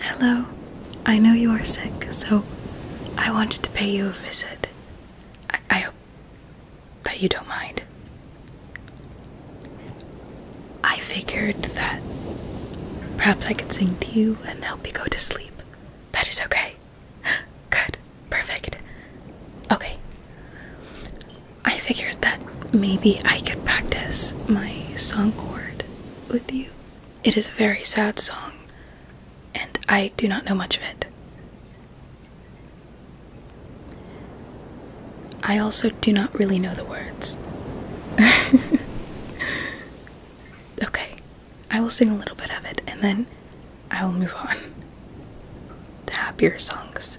Hello. I know you are sick, so I wanted to pay you a visit. I, hope that you don't mind. I figured that perhaps I could sing to you and help you go to sleep. That is okay. Good. Perfect. Okay. I figured that maybe I could practice my song chord with you. It is a very sad song, and I do not know much of it. I also do not really know the words. okay, I will sing a little bit of it and then I will move on to happier songs.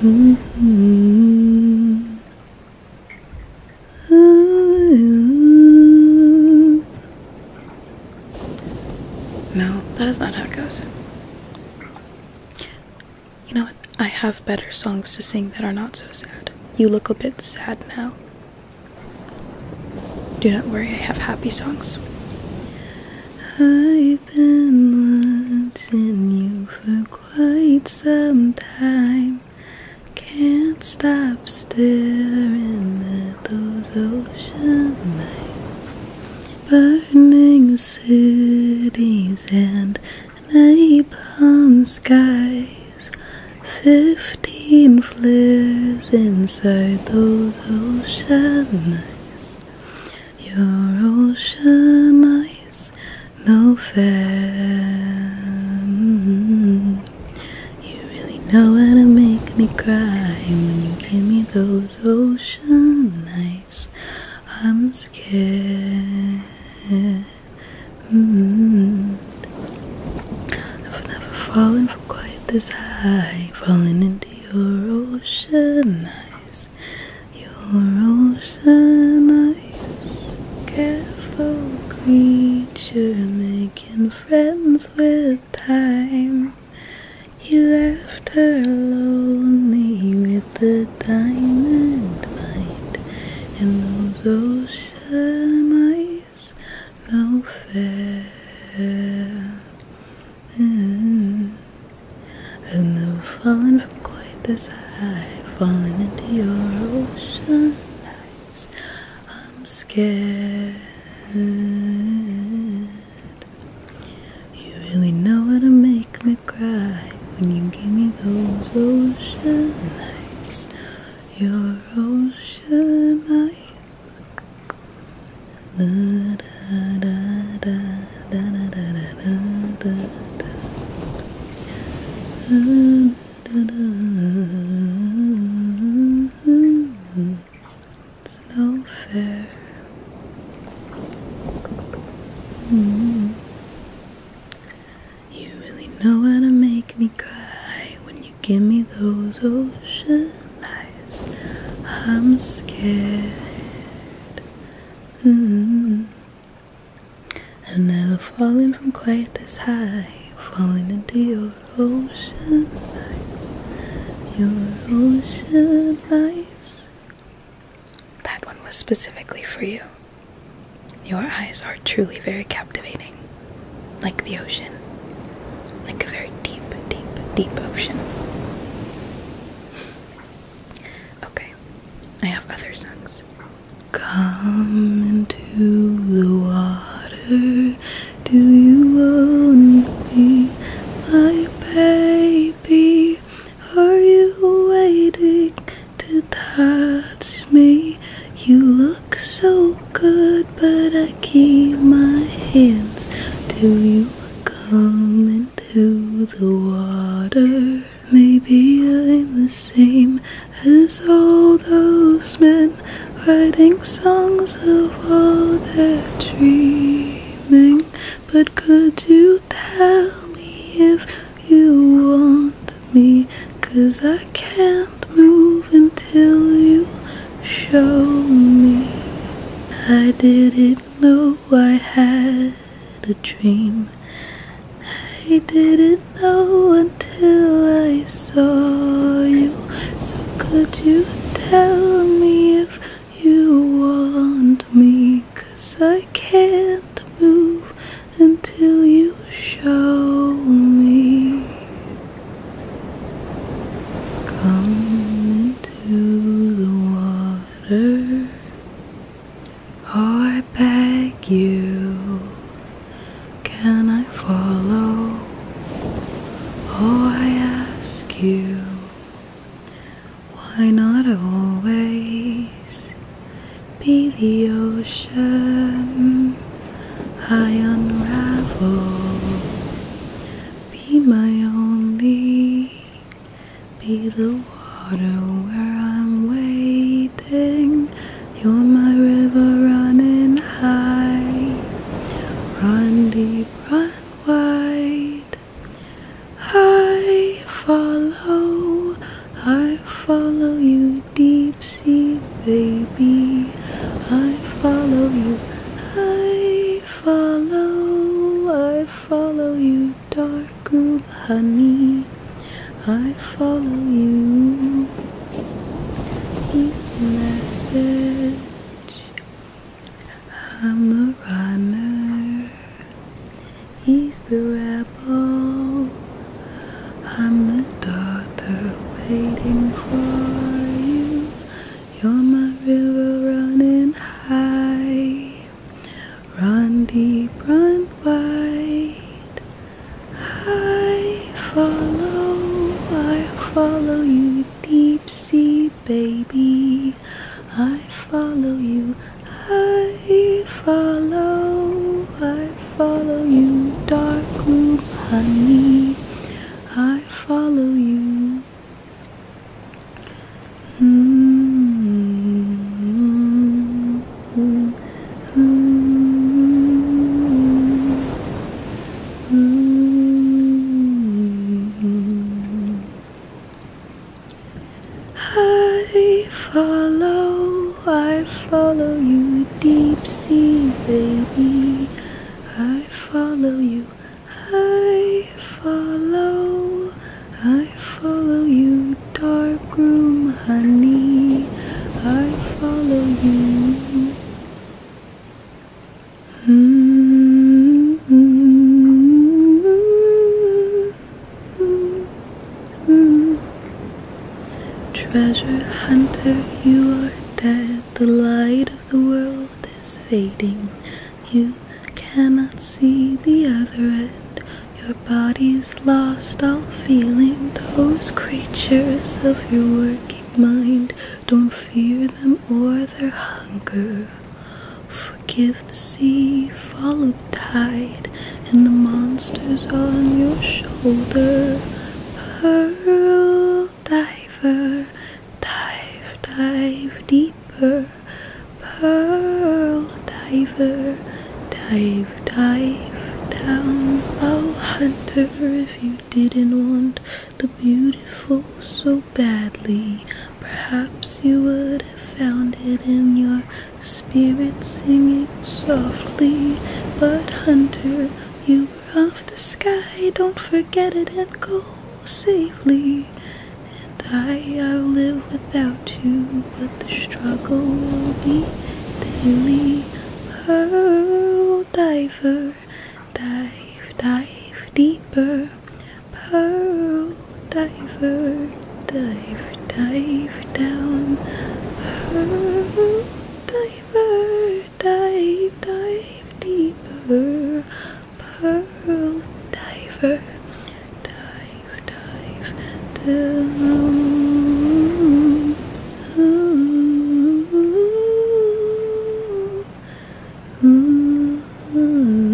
Mm-hmm. No, that is not how it goes. You know what? I have better songs to sing that are not so sad. You look a bit sad now. Do not worry, I have happy songs. I've been wanting you for quite some time. Can't stop staring at those ocean lights, burning cities and napalm skies. Fifteen flares inside those ocean eyes. Your ocean eyes no fair. You really know how to make me cry when you give me those ocean eyes. I'm scared. I've never fallen from quite this high, falling into your ocean eyes. Your ocean eyes, careful creature, making friends with time. He left her lonely with the diamond mind, and those ocean eyes, now fair. Mm. I've never fallen from quite this high, falling into your ocean eyes. I'm scared. You really know how to make me cry when you give me those ocean eyes, your ocean eyes. It's no fair. You really know how to make me cry when you give me those ocean eyes. I'm scared. Mm-hmm. I've never fallen from quite this high, falling into your ocean eyes, your ocean eyes. That one was specifically for you. Your eyes are truly very captivating, like the ocean, like a very deep, deep, deep ocean. Okay, I have other songs. Come into the water, do you want me, my baby? Are you waiting to touch me? You look so good, but I keep my hands till you come to the water. Maybe I'm the same as all those men writing songs of all their dreaming. But could you tell me if you want me? Cause I can't move until you show me. I didn't know I had a dream I didn't know until I saw you. So, could you tell me if you want me? Cause I can't move until you show me. Come into the water. Oh, I beg you, can I follow? Oh, I ask you, why not always be the ocean? I unravel, be my only be the water where I'm waiting. You're my river running high. Run deep, run wide. I follow, I follow you, deep sea baby. I follow you, I follow, I follow you, dark girl behind me. I follow you. He's the message. I'm the runner. He's the rebel. I'm the daughter waiting for you. You're my river running high. Run deep, run wide. I follow, I follow you, deep sea baby. I follow you, I follow, I follow you, dark room honey. I follow you. I follow, I follow you, deep sea baby. I follow you. I follow, I follow you, dark room, honey. I follow you. Mm-hmm. Treasure hunter, you are dead, the light of the world world is fading. You cannot see the other end. Your body's lost all feeling. Those creatures of your working mind don't fear them or their hunger. Forgive the sea, follow the tide, and the monsters on your shoulder. Pearl diver, Dive, dive deeper, pearl diver. Dive, dive down. Oh, hunter, if you didn't want the beautiful so badly, perhaps you would have found it in your spirit singing softly. But, hunter, you were off the sky, don't forget it and go safely die, I'll live without you, but the struggle will be daily. Pearl diver, dive, dive deeper. Pearl diver, dive, dive down. Pearl diver, dive, dive deeper pearl diver, dive, dive down. Mm -hmm. Mm -hmm. Mm -hmm.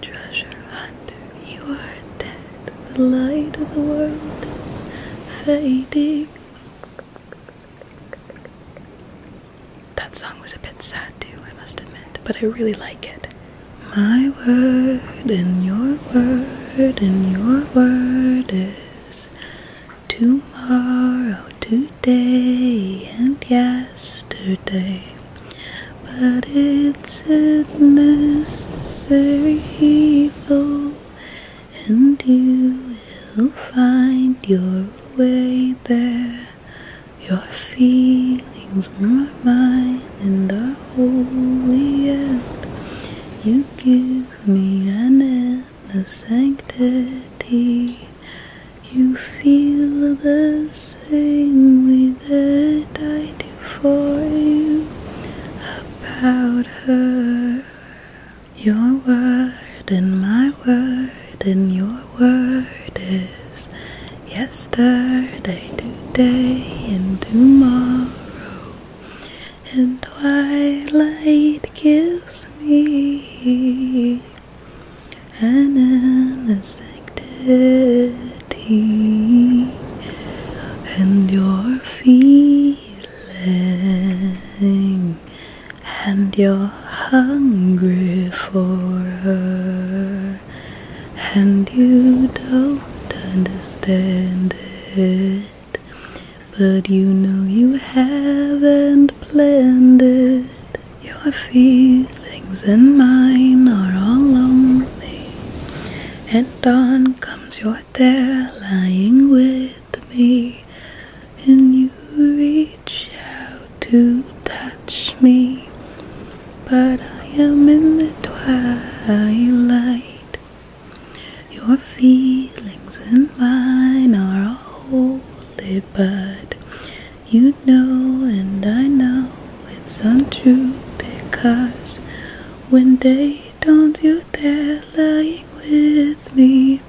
Treasure hunter, you are dead. The light of the world is fading. That song was a bit sad too, I must admit, but I really like it. My word and your word and your word is tomorrow, today and yesterday, but it's a necessary evil, and you will find your way there. Your feelings my mine and are holy, and you give me an inner sanctity. You feel the same way that I do for you about her. Your word and my word and your word is yesterday, today, and tomorrow. And twilight gives me an endless activity, and you're feeling, and you're hungry for her, and you don't understand it. But you know you haven't planned it. Your feelings and mine are all lonely. And on comes your there lying with me. And you reach out to touch me. But I am in the twilight. Your feelings and mine are holy, but you know, and I know it's untrue because when day dawns, you're there lying with me,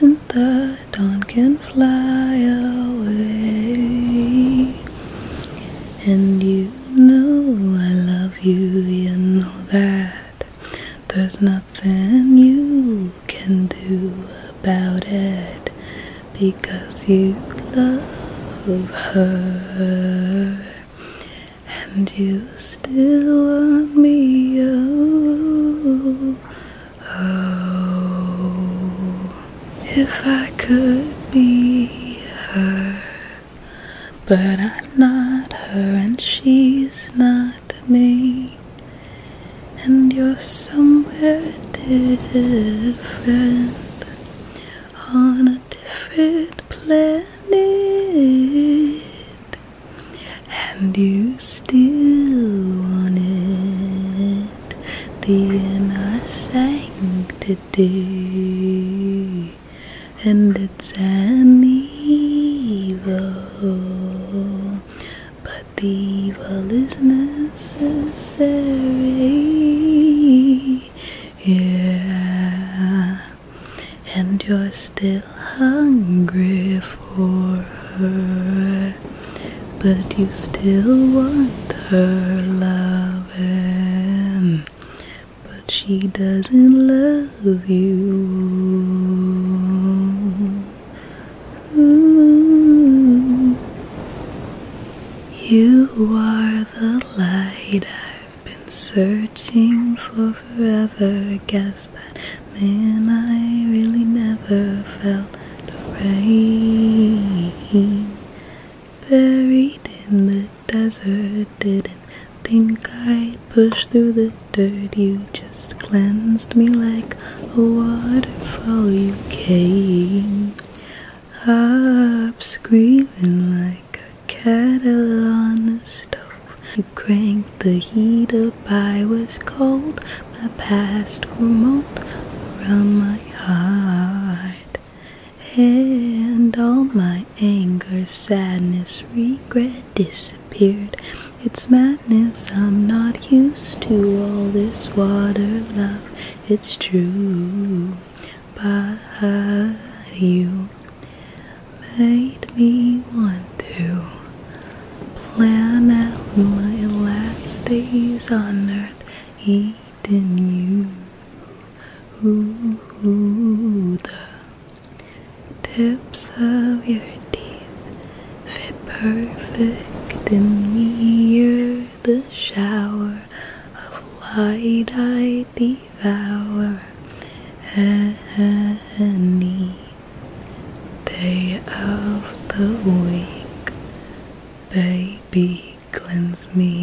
and the dawn can fly away. And you know I love you, you know that there's nothing nothing you can do about it because you love her and you still want me. oh. If I could be her, but I'm not her, and she's not and you're somewhere different on a different planet, and you still want it the inner sanctity. And it's an evil but the evil is necessary. Yeah, and you're still hungry for her, but you still want her loving, but she doesn't love you. Mm. You are the light I've been searching for forever. Guess that man I really never felt the rain. Buried in the desert, didn't think I'd push through the dirt you just cleansed me like a waterfall you came up screaming like a kettle on the stove you cranked the heat up i was cold my past remote around my heart and all my anger sadness regret disappeared. It's madness, I'm not used to all this water love. It's true, but you made me want to plan out my last days on earth, eating you. Ooh, ooh, the tips of your teeth fit perfect in me. You're the shower of light I devour any day of the week. Baby, cleanse me.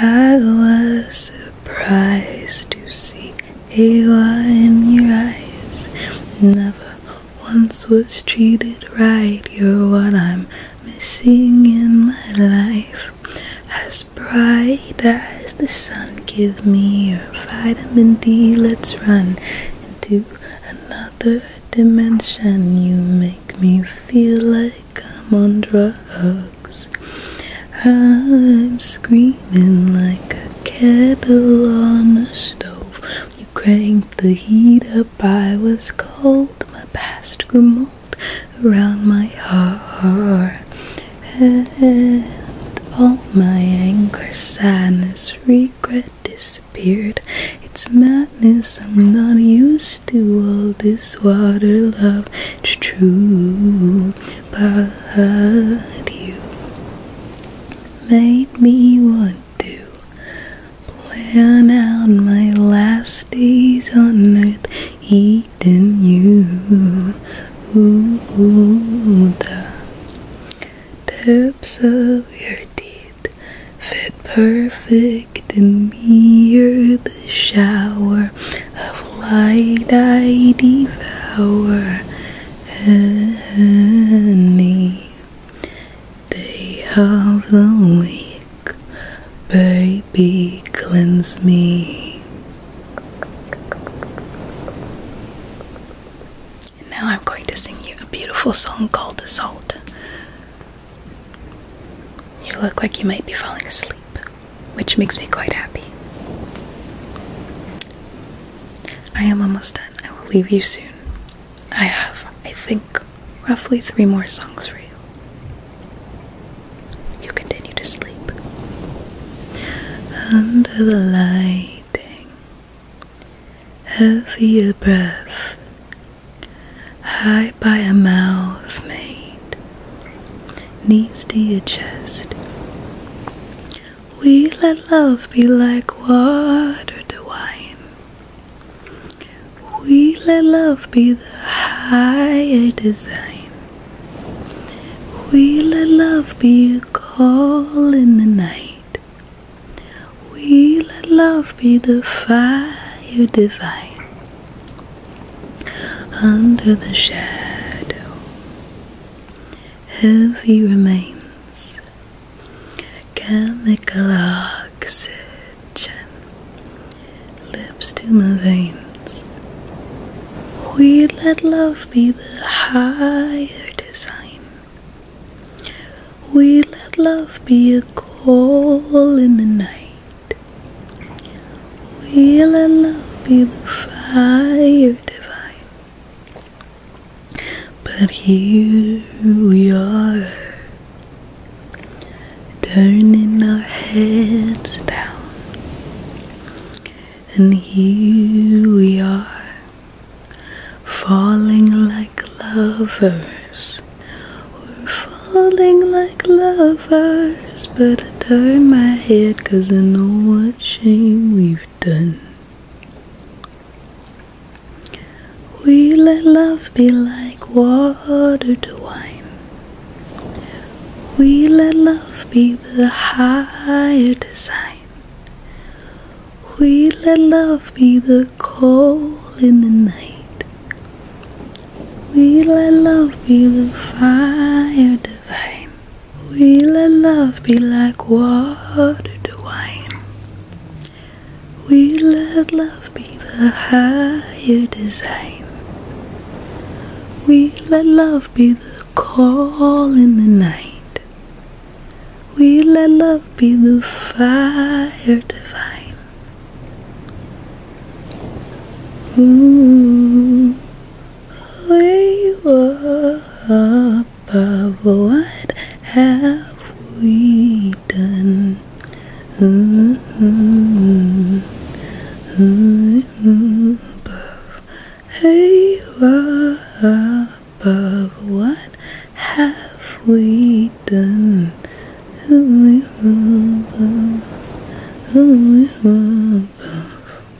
I was prize to see AY in your eyes. Never once was treated right. You're what I'm missing in my life. As bright as the sun, give me your vitamin D. Let's run into another dimension. You make me feel like I'm on drugs. I'm screaming like a kettle on a stove. You cranked the heat up, I was cold. My past grew mold around my heart. And all my anger, sadness, regret disappeared. It's madness, I'm not used to all this water love. It's true but you made me want to plan out my last days on earth eating you. Ooh, ooh, the tips of your teeth fit perfect in me. You're the shower of light I devour any day of the week. Baby, cleanse me. now I'm going to sing you a beautiful song called Salt. You look like you might be falling asleep which makes me quite happy. I am almost done. I will leave you soon. I have, I think, roughly three more songs for you. You continue to sleep. Under the lighting, heavier breath, high by a mouth made knees to your chest. We let love be like water to wine. We let love be the higher design. We let love be a call in the night. We let love be the fire divine. Under the shadow heavy remains, chemical oxygen lips to my veins. We let love be the higher design. We let love be a call in the night. We Will Allah be the fire divine? But here we are, turning our heads down, and here we are, falling like lovers. We're falling like lovers first, but I turned my head cause I know what shame we've done. We let love be like water to wine. We let love be the higher design. We let love be the coal in the night. We let love be the fire divine. We let love be like water to wine. We let love be the higher design. We let love be the call in the night. We let love be the fire divine. Ooh we were above. What have we done? Hey, above. What have we done?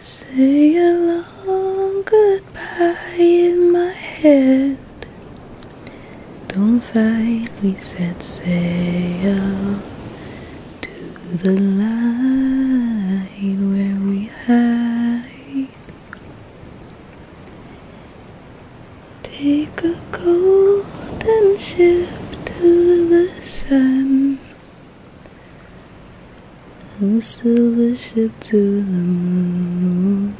Say a long goodbye in my head. Don't fight, we set sail to the light where we hide. Take a golden ship to the sun. A silver ship to the moon,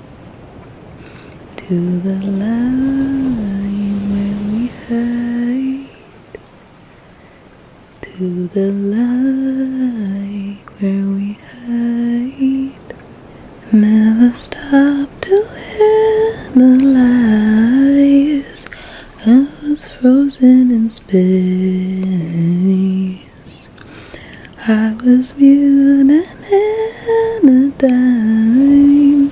to the line where we hide, to the light where we hide. Never stop to analyze I was frozen in space. I was mute and a dime,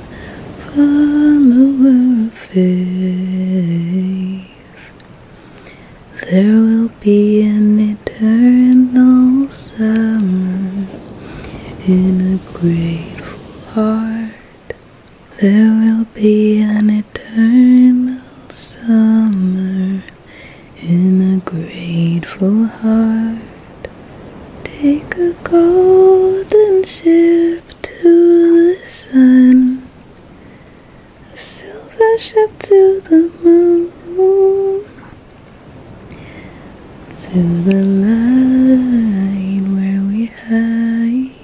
follower of faith. There will be an eternal summer in a grateful heart. There will be an eternal summer in a grateful heart. Take a golden ship to the sun, a silver ship to the moon, to the light where we hide.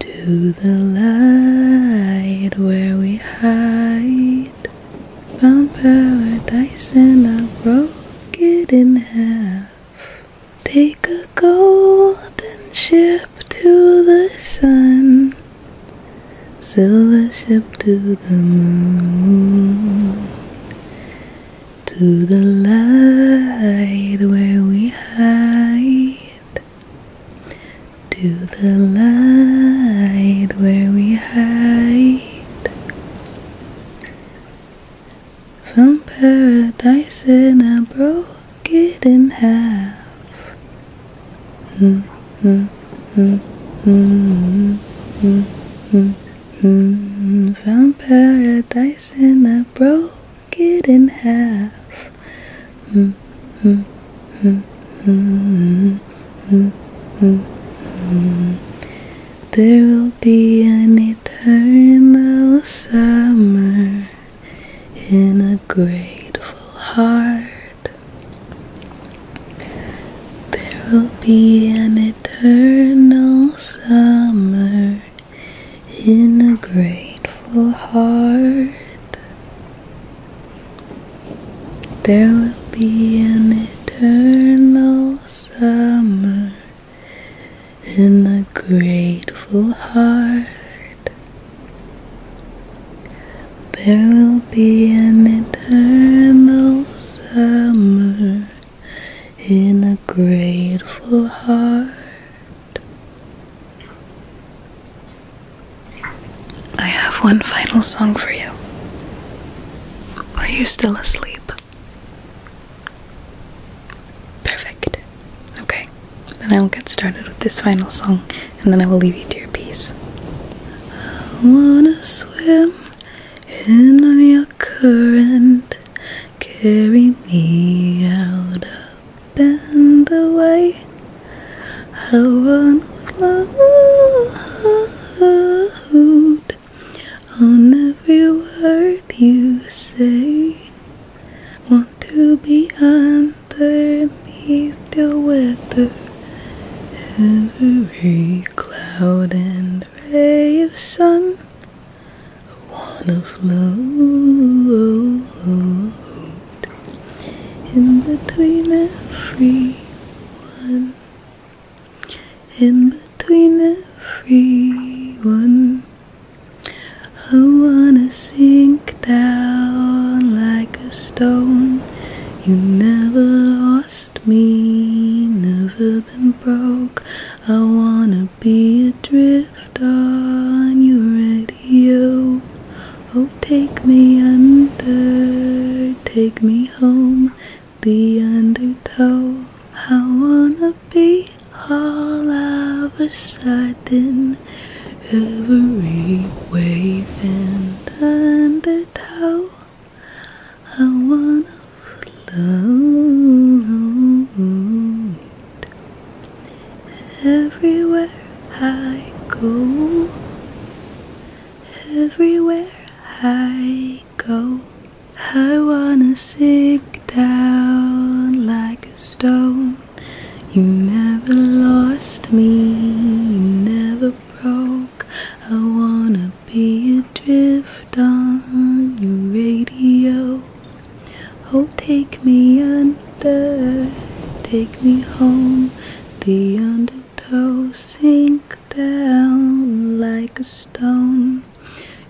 To the light where we hide, found paradise and I broke it in half. Take a golden ship to the sun, silver ship to the moon to the light where we hide, to the light where we hide from paradise and I broke it in half. Mm -hmm, mm -hmm, mm -hmm, from paradise and I broke it in half. There will be an eternal summer in a grateful heart. There will be an eternal summer in a grateful heart. There will be an eternal summer in a grateful heart. There will be an eternal summer in a grateful heart. I have one final song for you. Are you still asleep? Perfect. Okay, then I'll get started with this final song and then I will leave you to your peace. I wanna swim in your current. Carry me out up the way. I wanna float on every word you say. Want to be underneath your weather. Every cloud and ray of sun wanna float in between everyone, in between everyone. I wanna sink down like a stone. You never lost me, never I wanna be adrift on your radio. Oh, take me under, take me home. The undertow. I wanna be all of a sudden. Every wave in the undertow. I wanna float everywhere I go. Everywhere I go, I wanna sink down like a stone. You never lost me, you never broke. I wanna I'll be adrift on your radio. Oh, take me under, take me home. The undertow sink down like a stone.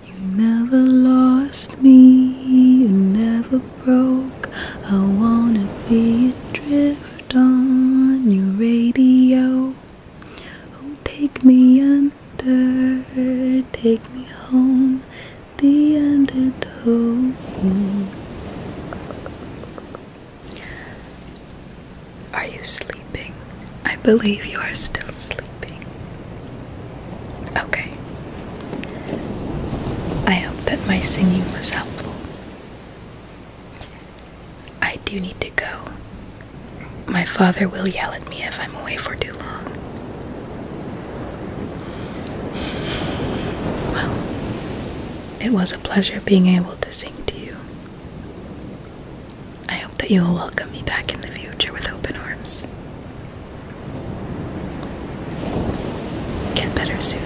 You never lost me, you never broke. I wanna be adrift on your radio. Oh, take me under, take me home, the undertow. Are you sleeping? I believe you are still sleeping. Okay. I hope that my singing was helpful. I do need to go. My father will yell at me if I'm away for too long. Well, it was a pleasure being able to sing to you. I hope that you will welcome me back in the future with open arms. Get better soon.